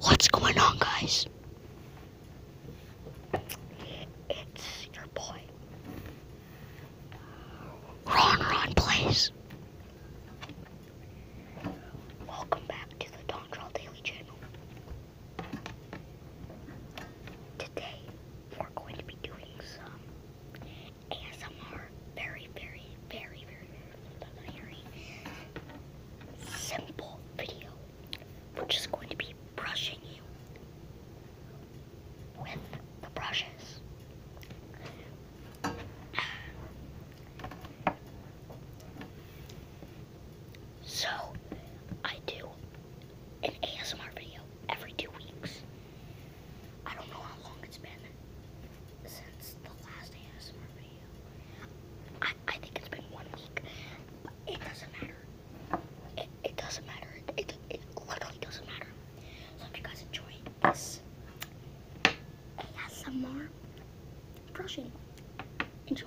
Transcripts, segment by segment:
What's going on, guys? It's your boy. Ron Ron Plays. Welcome back to the Don Daily channel. Today, we're going to be doing some ASMR very, very, very, very, very simple video, which is going to be brushing you with the brushes. So, I do an ASMR video every two weeks. I don't know how long it's been since the last ASMR video. I, I think it's been one week, it doesn't matter. It, doesn't matter. It, literally doesn't matter. So if you guys enjoy this ASMR brushing, enjoy.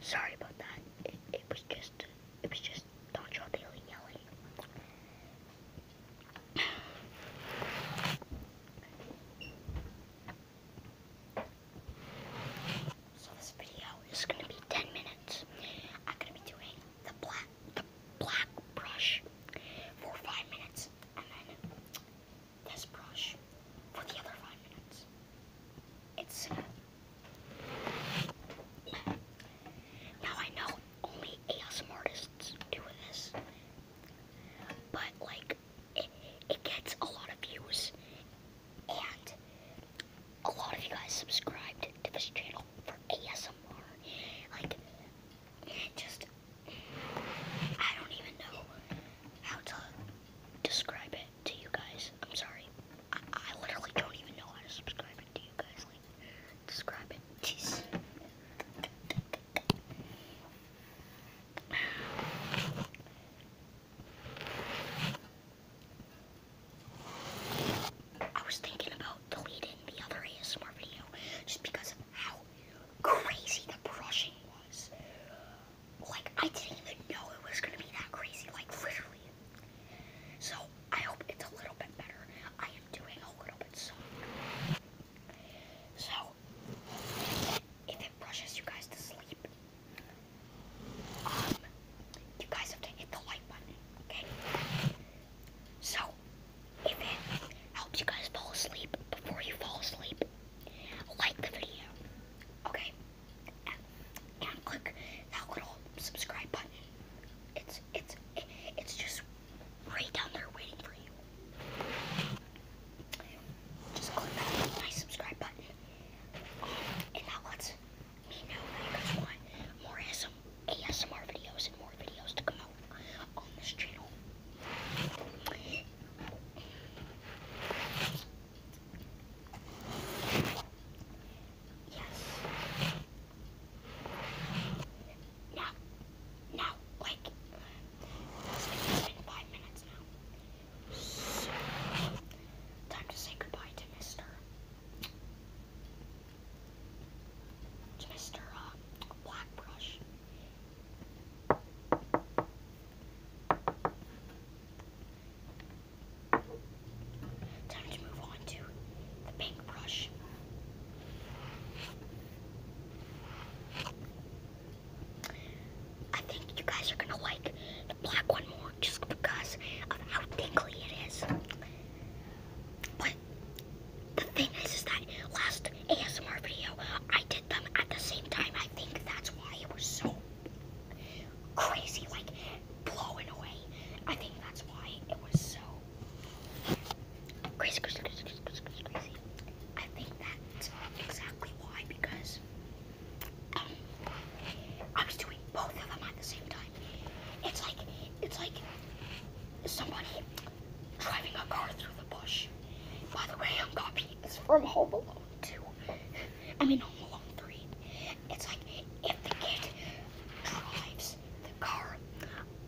Sorry about that. It, was just, it was just Donald Trump yelling, So this video is gonna be 10 minutes. I'm gonna be doing the black, black brush for five minutes, and then this brush for the other five minutes. It's uh, now I know only ASM artists do this, but like it, it gets a lot of views, and a lot of you guys subscribed to this channel for ASM. Like, just, I don't even know how to describe it to you guys. I'm sorry. I, literally don't even know how to subscribe it to you guys. Like, describe it. Jeez. I was thinking about deleting the other ASMR video just because of how crazy the brushing was. Like, I didn't even know it was gonna be that crazy, like, literally. So, I hope it's a little bit better. I am doing a little bit so. So, if it brushes you guys to sleep, um, you guys have to hit the like button, okay? So, if it helps you guys fall asleep before you fall asleep, like the video, okay? And, click that little subscribe button. It's it's it's just right down there waiting for you. Just click that nice subscribe button, and that lets me know you guys want more ASMR videos and more videos to come out on this channel. Yes. Now, now, like, it's been five minutes now. time to say goodbye to Mr. Just a black brush. Time to move on to the pink brush. I think you guys are gonna like the black one more just because of how tingly it is the thing is, is that last ASMR video, I did them at the same time. I think that's why it was so crazy, like blowing away. I think that's why it was so crazy, crazy, crazy, crazy, crazy. crazy. I think that's exactly why, because um, I was doing both of them at the same time it's like it's like somebody driving a car through the bush. By the way, I'm copying this from Home Alone 2. I mean Home Alone 3. It's like if the kid drives the car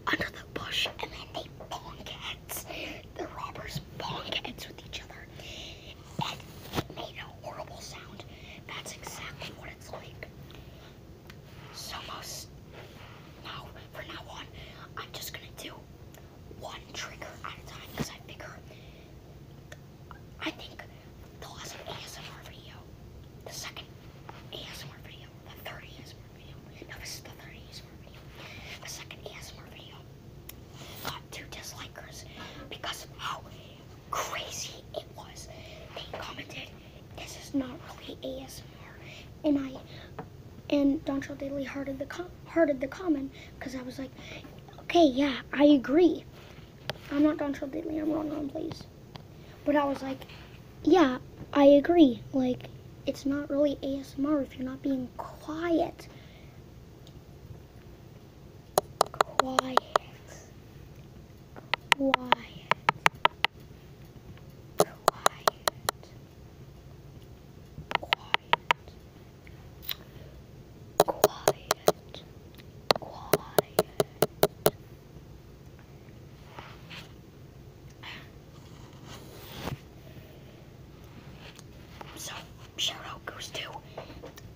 under the bush and then they bonk heads. The robbers bonk heads with each other. And made a horrible sound. That's exactly what it's like. So most Now, from now on, I'm just gonna do one trigger at a time because I figure I think the last ASMR video, the second ASMR video, the third ASMR video, Now this is the third ASMR video, the second ASMR video got two dislikers because of how crazy it was. They commented this is not really ASMR. And I and Dontrell Daily hearted the hearted the comment because I was like, okay, yeah, I agree. I'm not Dontrell Daily. I'm wrong on please. But I was like, yeah, I agree. Like, it's not really ASMR if you're not being quiet. Quiet. Quiet. Quiet. Quiet. Quiet. Quiet. So shout goes to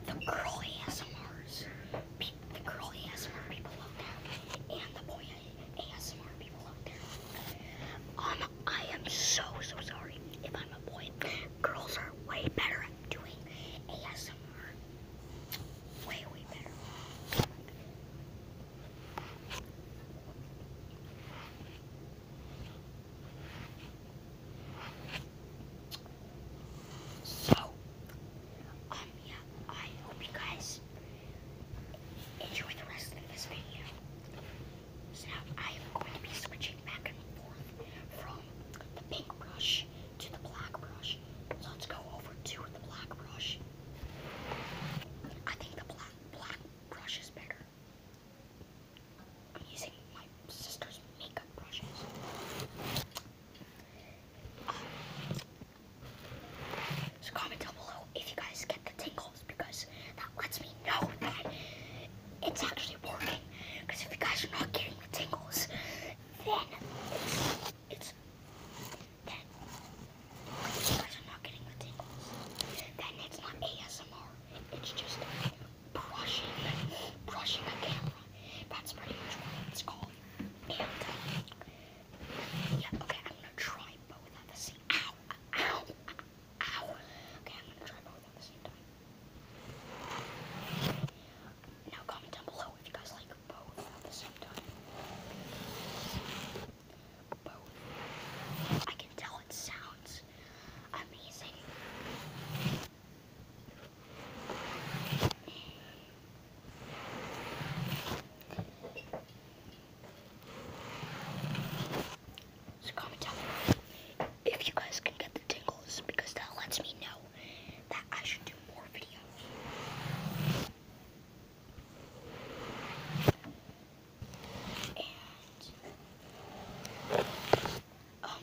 the girl ASMRs the girl ASMR people out there and the boy ASMR people out there. Um, I am so, so sorry if I'm a boy. Girls are way better at doing ASMR. Way, way better. So, um, yeah, I hope you guys enjoy the rest of this video. So now I am going to be switching back and forth from the pink brush to the black brush. let's go over to the black brush. I think the black, black brush is better. I'm using my sister's makeup brushes. Um, so comment down below if you guys get the tingles because that lets me know that it's actually working. Because if you guys are not getting the tingles, then it's, then if you guys are not getting the tingles, then it's not ASMR. It's just brushing, brushing a camera. That's pretty much what it's called. And yeah, okay, I'm gonna try both at the same Ow, ow, ow. Okay, I'm gonna try both at the same time. Now comment down below if you guys like both at the same time. Both. I can tell it sounds amazing. So comment down below if you guys can get the tingles because that lets me know that I should do more videos. And um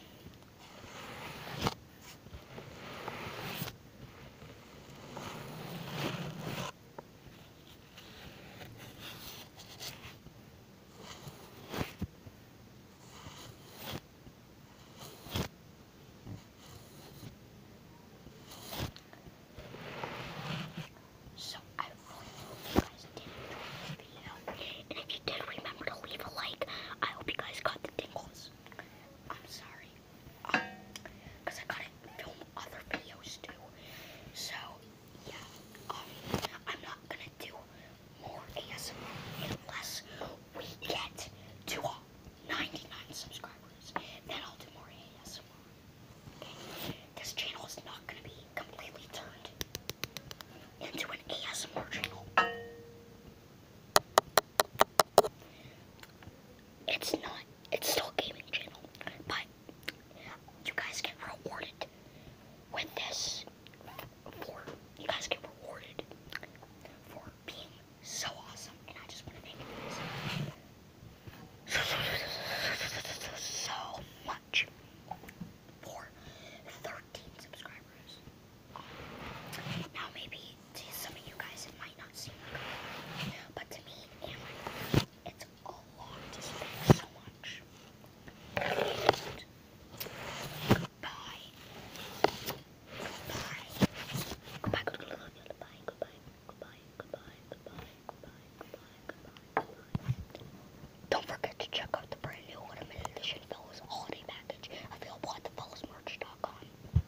so I really hope you guys did enjoy this video. And if you did, remember to leave a like. I hope you guys got the tingles. I'm sorry um, cause I gotta film other videos too. So yeah, um, I'm not gonna do more ASMR unless we get to 99 subscribers. Then I'll do more ASMR. this channel is not gonna be completely turned into an ASMR channel. It's not. It's still a gaming channel, but you guys get rewarded with this. For you guys get rewarded for being so awesome, and I just want to thank so much for 13 subscribers. Now maybe to some of you guys, it might not seem like a but to me it's a lot so much. goodbye. Goodbye. Goodbye. Goodbye. Goodbye. Goodbye. Goodbye. Goodbye. Goodbye. Goodbye. Goodbye. Goodbye. Don't forget to check out the brand new limited edition Fellas holiday package available at the fellowsmerch.com.